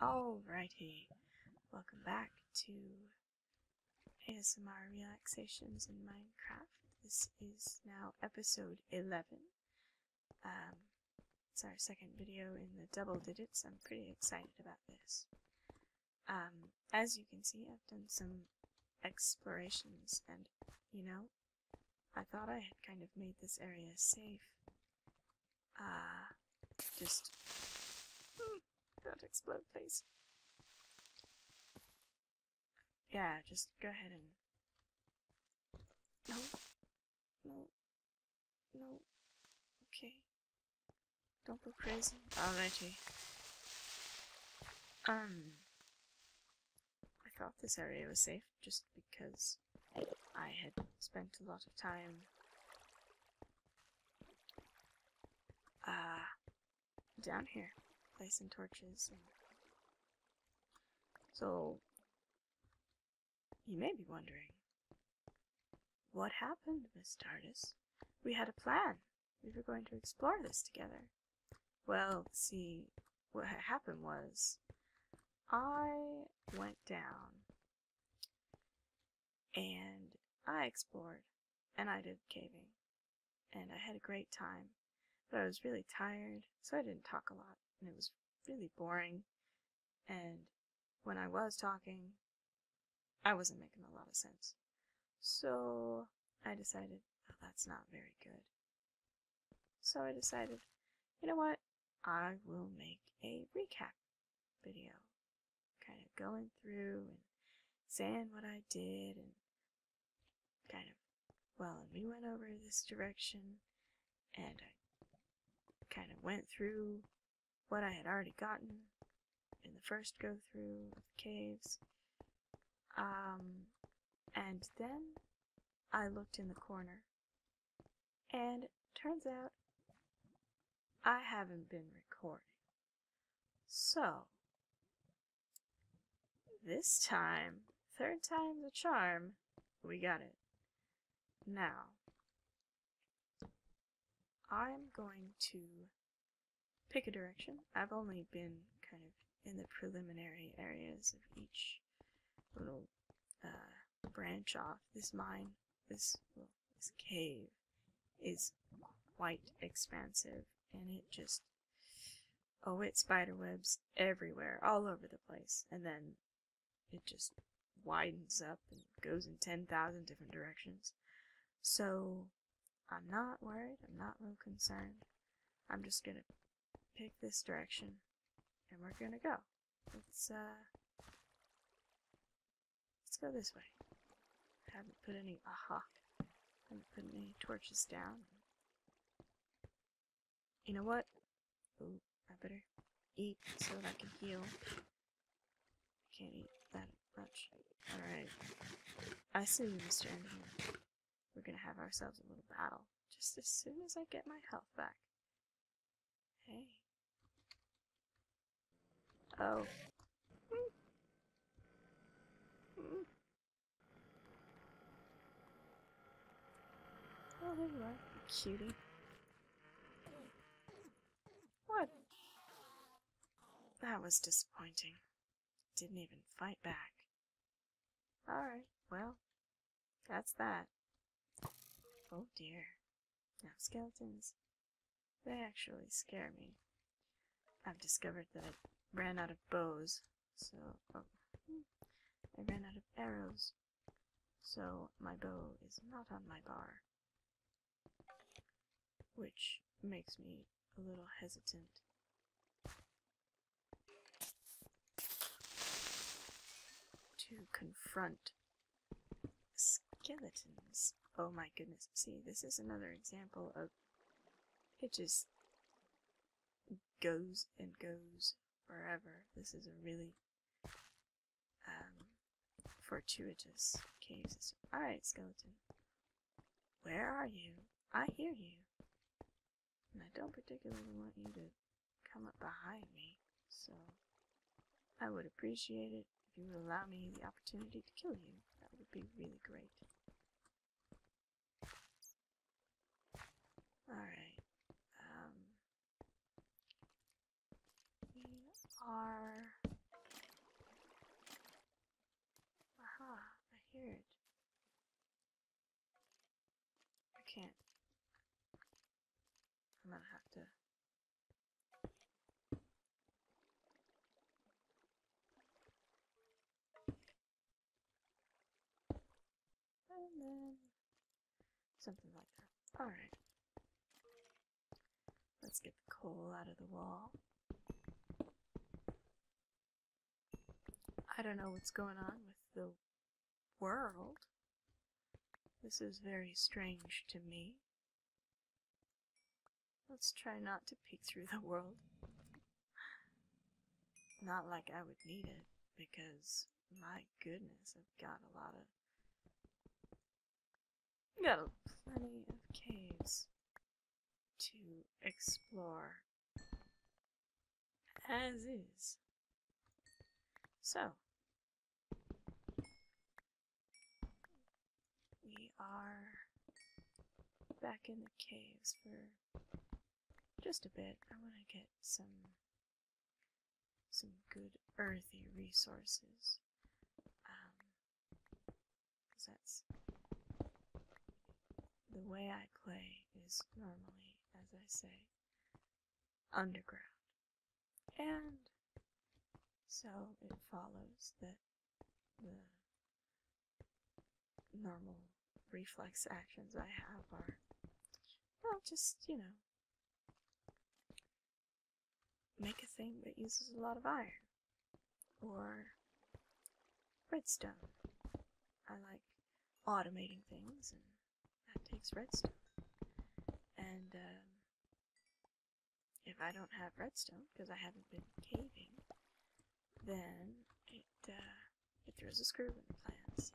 Alrighty, welcome back to ASMR Relaxations in Minecraft. This is now episode 11. Um, it's our second video in the double digits. I'm pretty excited about this. Um, as you can see, I've done some explorations, and you know, I thought I had kind of made this area safe, Ah, just. Don't explode, please. Yeah, just go ahead and. No. No. No. Okay. Don't go crazy. Alrighty. Oh, um. I thought this area was safe just because I had spent a lot of time uh, down here placing torches. so, you may be wondering, what happened, Miss Tardis? We had a plan. We were going to explore this together. Well, see, what happened was I went down and I explored and I did caving and I had a great time. But I was really tired, so I didn't talk a lot and it was really boring. And when I was talking, I wasn't making a lot of sense. So I decided, oh, that's not very good. So I decided, you know what? I will make a recap video, kind of going through and saying what I did and kind of, well, and we went over this direction and I kind of went through what I had already gotten in the first go through of the caves. Um, and then I looked in the corner and turns out I haven't been recording. So, this time, third time's a charm, we got it. Now, I'm going to pick a direction. I've only been kind of in the preliminary areas of each little uh, branch off. This mine, this, this cave is quite expansive and it just, oh, it spiderwebs everywhere, all over the place. And then it just widens up and goes in 10,000 different directions. So I'm not worried, I'm not real concerned. I'm just gonna pick this direction and we're gonna go. Let's, uh... Let's go this way. I haven't put any... Aha! I haven't put any torches down. You know what? Ooh, I better eat so that I can heal. Can't eat that much. Alright. I see you, Mr. Engineer. We're gonna have ourselves a little battle. Just as soon as I get my health back. Hey. Oh. Oh, there you are, cutie. What? That was disappointing. Didn't even fight back. Alright, well, that's that. Oh dear. Now skeletons, they actually scare me. I've discovered that I ran out of bows, so oh, I ran out of arrows, so my bow is not on my bar, which makes me a little hesitant. To confront Skeletons. Oh my goodness. See, this is another example of it just goes and goes forever. This is a really um, fortuitous case. Alright, skeleton. Where are you? I hear you. And I don't particularly want you to come up behind me, so... I would appreciate it if you would allow me the opportunity to kill you. That would be really great. Alright. Um, we are... Aha, I hear it. I can't. I'm gonna have to something like that. Alright. Let's get the coal out of the wall. I don't know what's going on with the world. This is very strange to me. Let's try not to peek through the world. Not like I would need it, because my goodness, I've got a lot of. Got a plenty of caves to explore. As is. So, we are back in the caves for just a bit. I want to get some some good earthy resources. Um, that's the way I play is normally, as I say, underground. And so it follows that the normal reflex actions I have are, well, just, you know, make a thing that uses a lot of iron or redstone. I like automating things, and that takes redstone. And um, if I don't have redstone, because I haven't been caving, then it, uh, it throws a screw in the plans.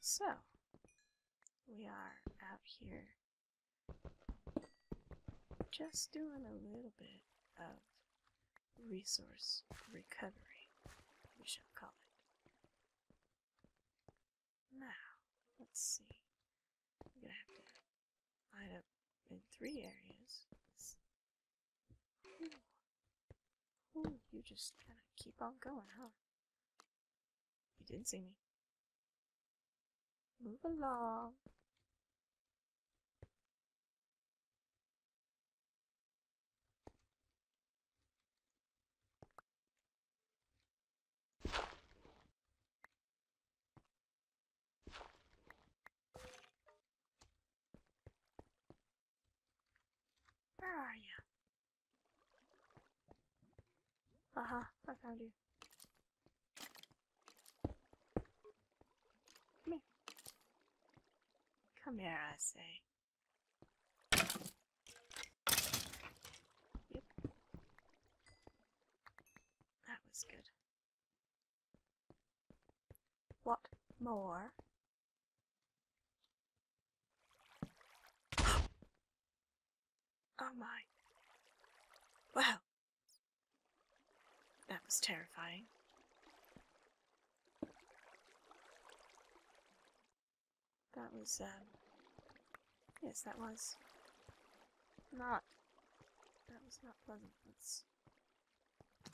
So, we are out here just doing a little bit of resource recovery, we shall call it. Now, let's see. I'm gonna have to line up in three areas. Ooh. you just kind of keep on going, huh? You didn't see me. Move along. Where are you? Aha, uh-huh, I found you. Come here. Come here, I say. That was good. What more? oh my. Wow. That was terrifying. That was, um, Yes, that was not. That was not pleasant. Let's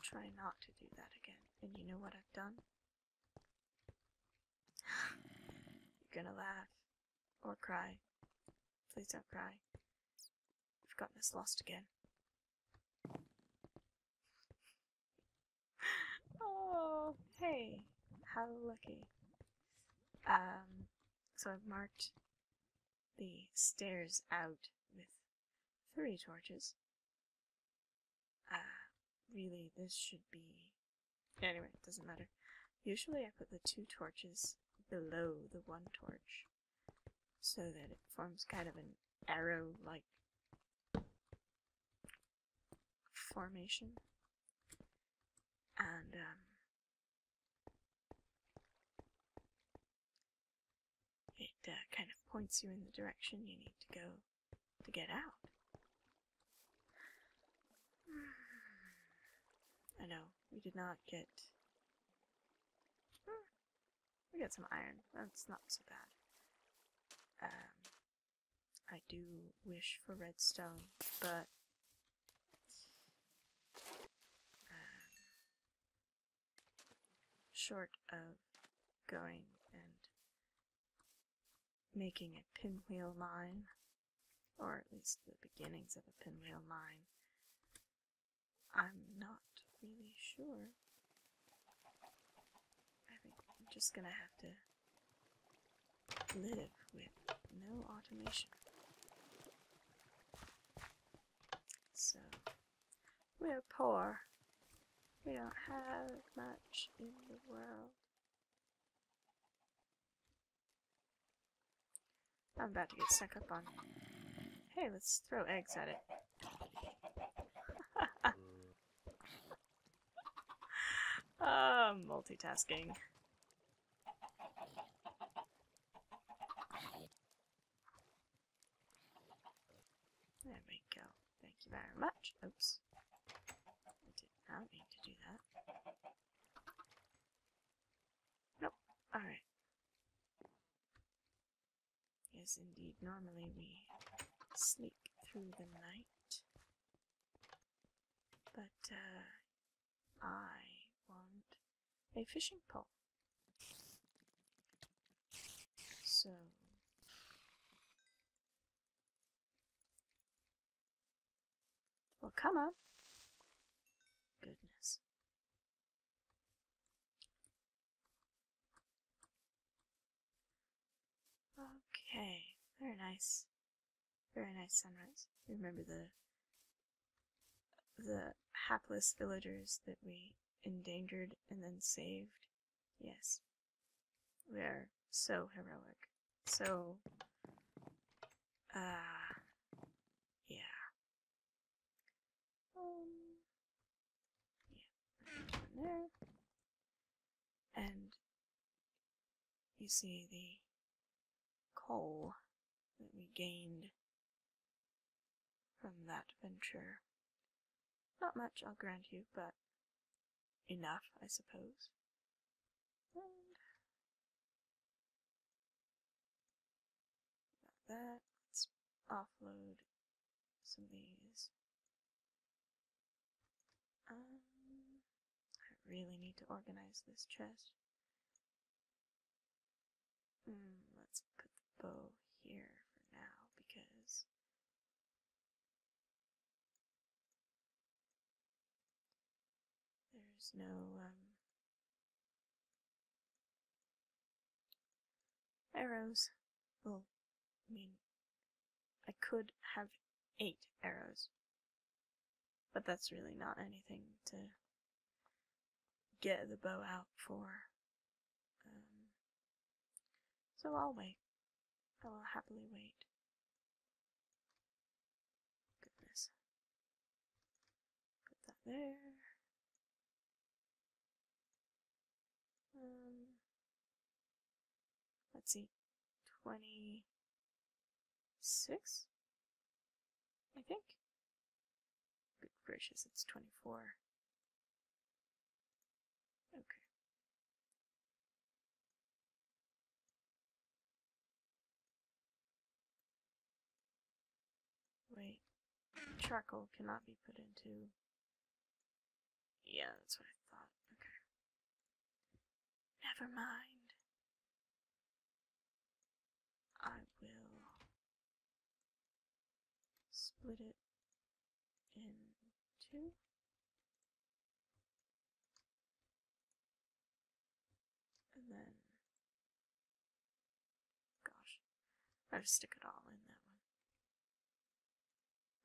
try not to do that again. And you know what I've done? You're gonna laugh. Or cry. Please don't cry. we have gotten us lost again. oh, hey. How lucky. Um, so I've marked the stairs out with three torches. Uh, really, this should be... Anyway, it doesn't matter. Usually I put the two torches below the one torch so that it forms kind of an arrow-like formation. And um, it uh, kind of points you in the direction you need to go to get out. I know, we did not get. we got some iron. That's not so bad. Um, I do wish for redstone, but short of going and making a pinwheel line, or at least the beginnings of a pinwheel line, I'm not really sure. I think I'm just gonna have to live with no automation. So, we're poor. We don't have much in the world. I'm about to get stuck up on Hey, let's throw eggs at it. uh, multitasking. There we go. Thank you very much. Oops. did not mean to do that. Nope. Alright. Yes, indeed. Normally we sleep through the night. But, uh, I want a fishing pole. So will come up. Goodness. Okay, very nice. Very nice sunrise. Remember the the hapless villagers that we endangered and then saved. Yes. We are so heroic. So uh yeah. Um yeah. There. And you see the coal that we gained from that venture. Not much, I'll grant you, but enough, I suppose. that, let's offload some of these. Um, I really need to organize this chest. Mm, let's put the bow here for now because there's no um, arrows. Well, I mean, I could have eight arrows, but that's really not anything to get the bow out for. Um, so I'll wait. I will happily wait. Goodness. Put that there. Um, let's see. 20 six, I think. Good gracious, it's 24. Okay. Wait, charcoal cannot be put into... Yeah, that's what I thought. Okay. Never mind. I will split it in two. And then, gosh, I just stick it all in that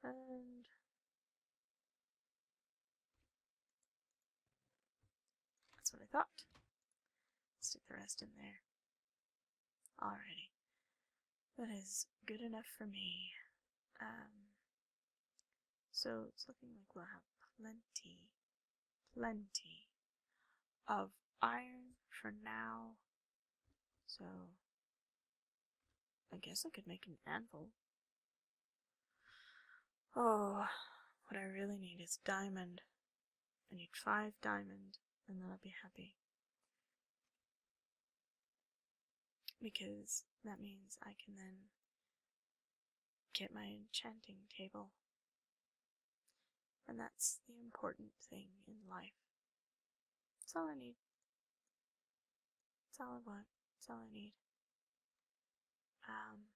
one. And that's what I thought. Stick the rest in there. Alrighty. That is good enough for me. Um, so it's looking like we'll have plenty, plenty of iron for now. So I guess I could make an anvil. Oh, what I really need is diamond. I need five diamond, and then I'll be happy. Because that means I can then get my enchanting table. And that's the important thing in life. That's all I need. That's all I want. That's all I need. Um,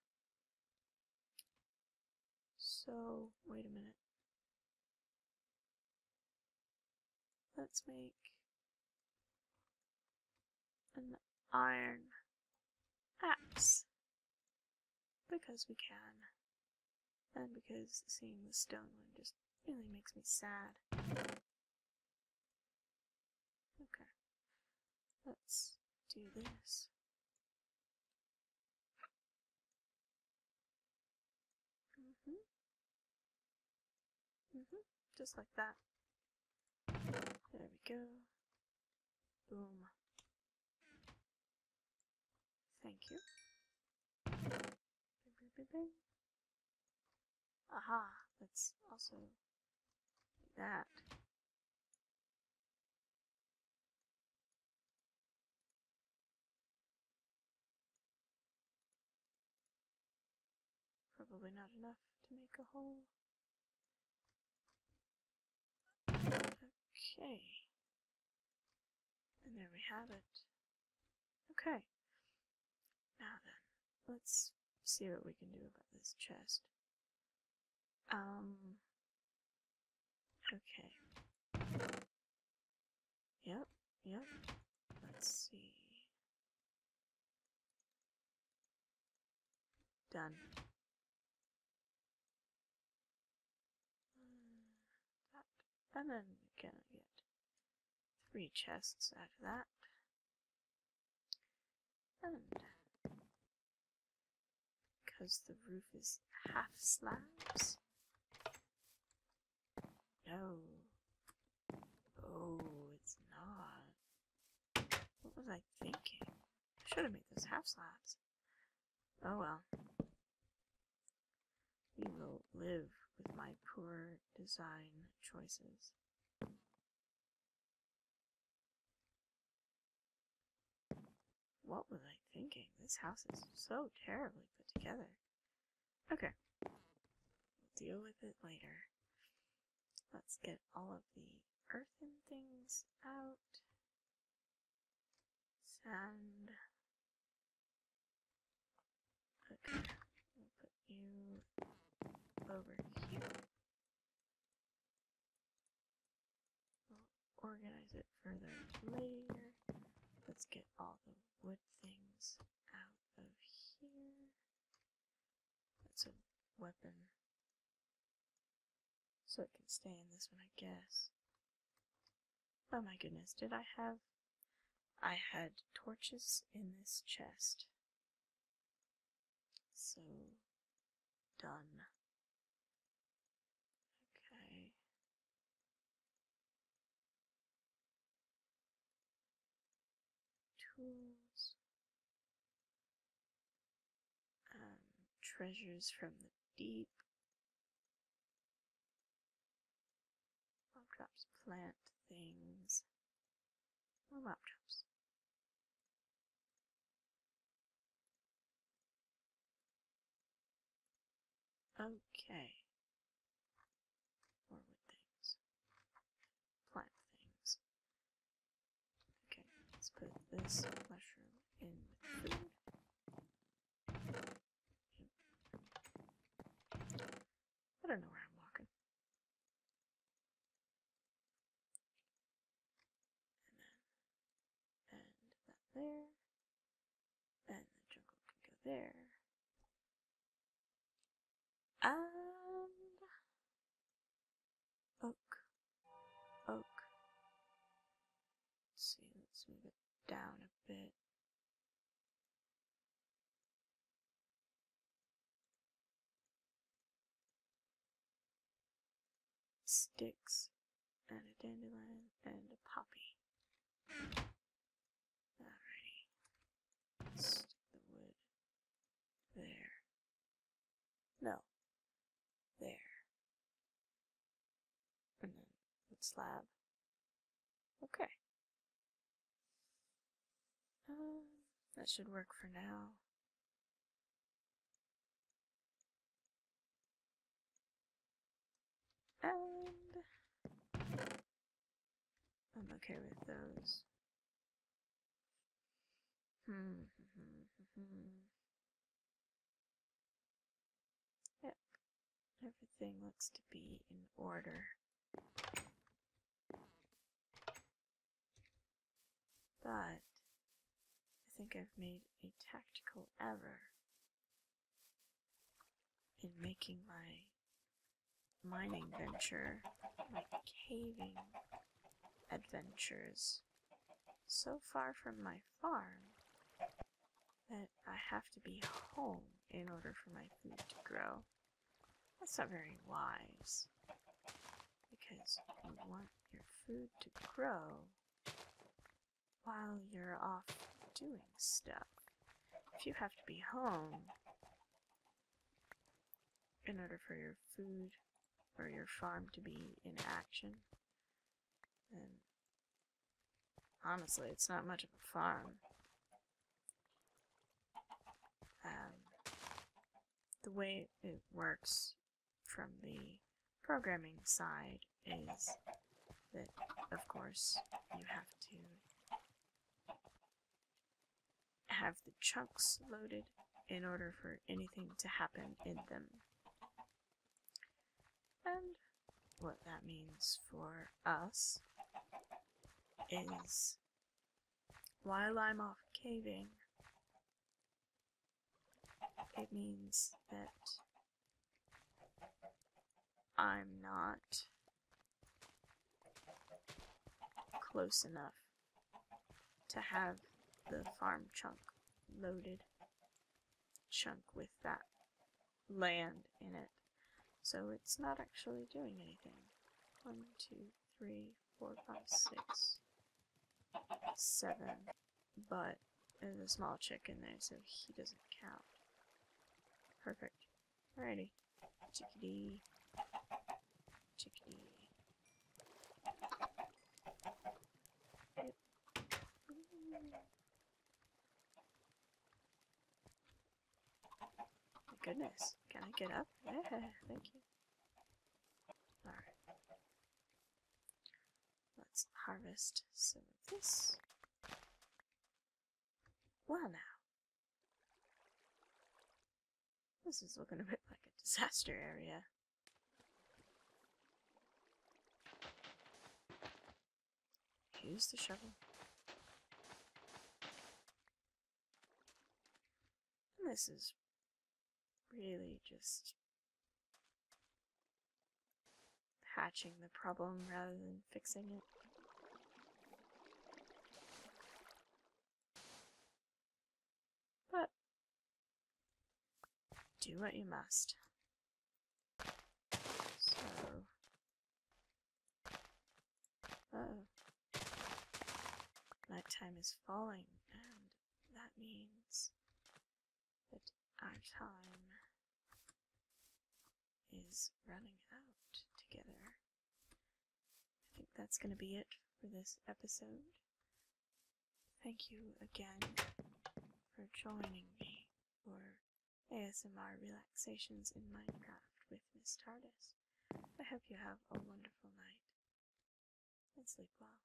so, wait a minute. Let's make an iron axe. Because we can. And because seeing the stone one just really makes me sad. Okay. Let's do this hmm hmm Just like that. There we go. Boom. Thank you. Aha! That's also that. Probably not enough to make a hole. Okay. And there we have it. Okay. Now then, let's see what we can do about this chest. Um, Okay. Yep, yep. Let's see. Done. That. And then we can get three chests out of that. And because the roof is half slabs? No. Oh, it's not. What was I thinking? I should have made those half slabs. Oh well. We will live with my poor design choices. What was I thinking? This house is so terribly put together. Okay. We'll deal with it later. Let's get all of the earthen things out. Sand. Okay. We'll put you over here organize it further later. Let's get all the wood things out of here. That's a weapon. So it can stay in this one, I guess. Oh my goodness, did I have... I had torches in this chest. So, done. Okay. Tools. Um, treasures from the deep. Lobdrops plant things. More lobdrops. Okay. Forward things. Plant things. Okay, let's put this mushroom in food. I don't know where I'm walking and that there, and the jungle can go there. And oak, oak. Let's see, let's move it down a bit sticks and a dandelion and a poppy. Alrighty. stick the wood there. No. There. And then wood slab. Okay. Um, that should work for now. And I'm okay with those. Hmm, hmm, hmm, hmm. yep. Everything looks to be in order. But I think I've made a tactical error in making my mining venture, my caving adventures, so far from my farm that I have to be home in order for my food to grow. That's not very wise, because you want your food to grow while you're off doing stuff. If you have to be home in order for your food or your farm to be in action, then honestly, it's not much of a farm. Um, the way it works from the programming side is that, of course, you have to have the chunks loaded in order for anything to happen in them. And what that means for us is while I'm off caving, it means that I'm not close enough to have the farm chunk loaded chunk with that land in it. So it's not actually doing anything. One, two, three, four, five, six, seven, but there's a small chick in there, so he doesn't count. Perfect. Alrighty. Chickadee. Chickadee. goodness. Can I get up? Yeah, thank you. Alright. Let's harvest some of this. Well now. This is looking a bit like a disaster area. Use the shovel. this is really just hatching the problem rather than fixing it. But do what you must. So. Oh. Nighttime is falling, and that means that our time is running out together. I think that's going to be it for this episode. Thank you again for joining me for ASMR Relaxations in Minecraft with Miss TARDIS. I hope you have a wonderful night and sleep well.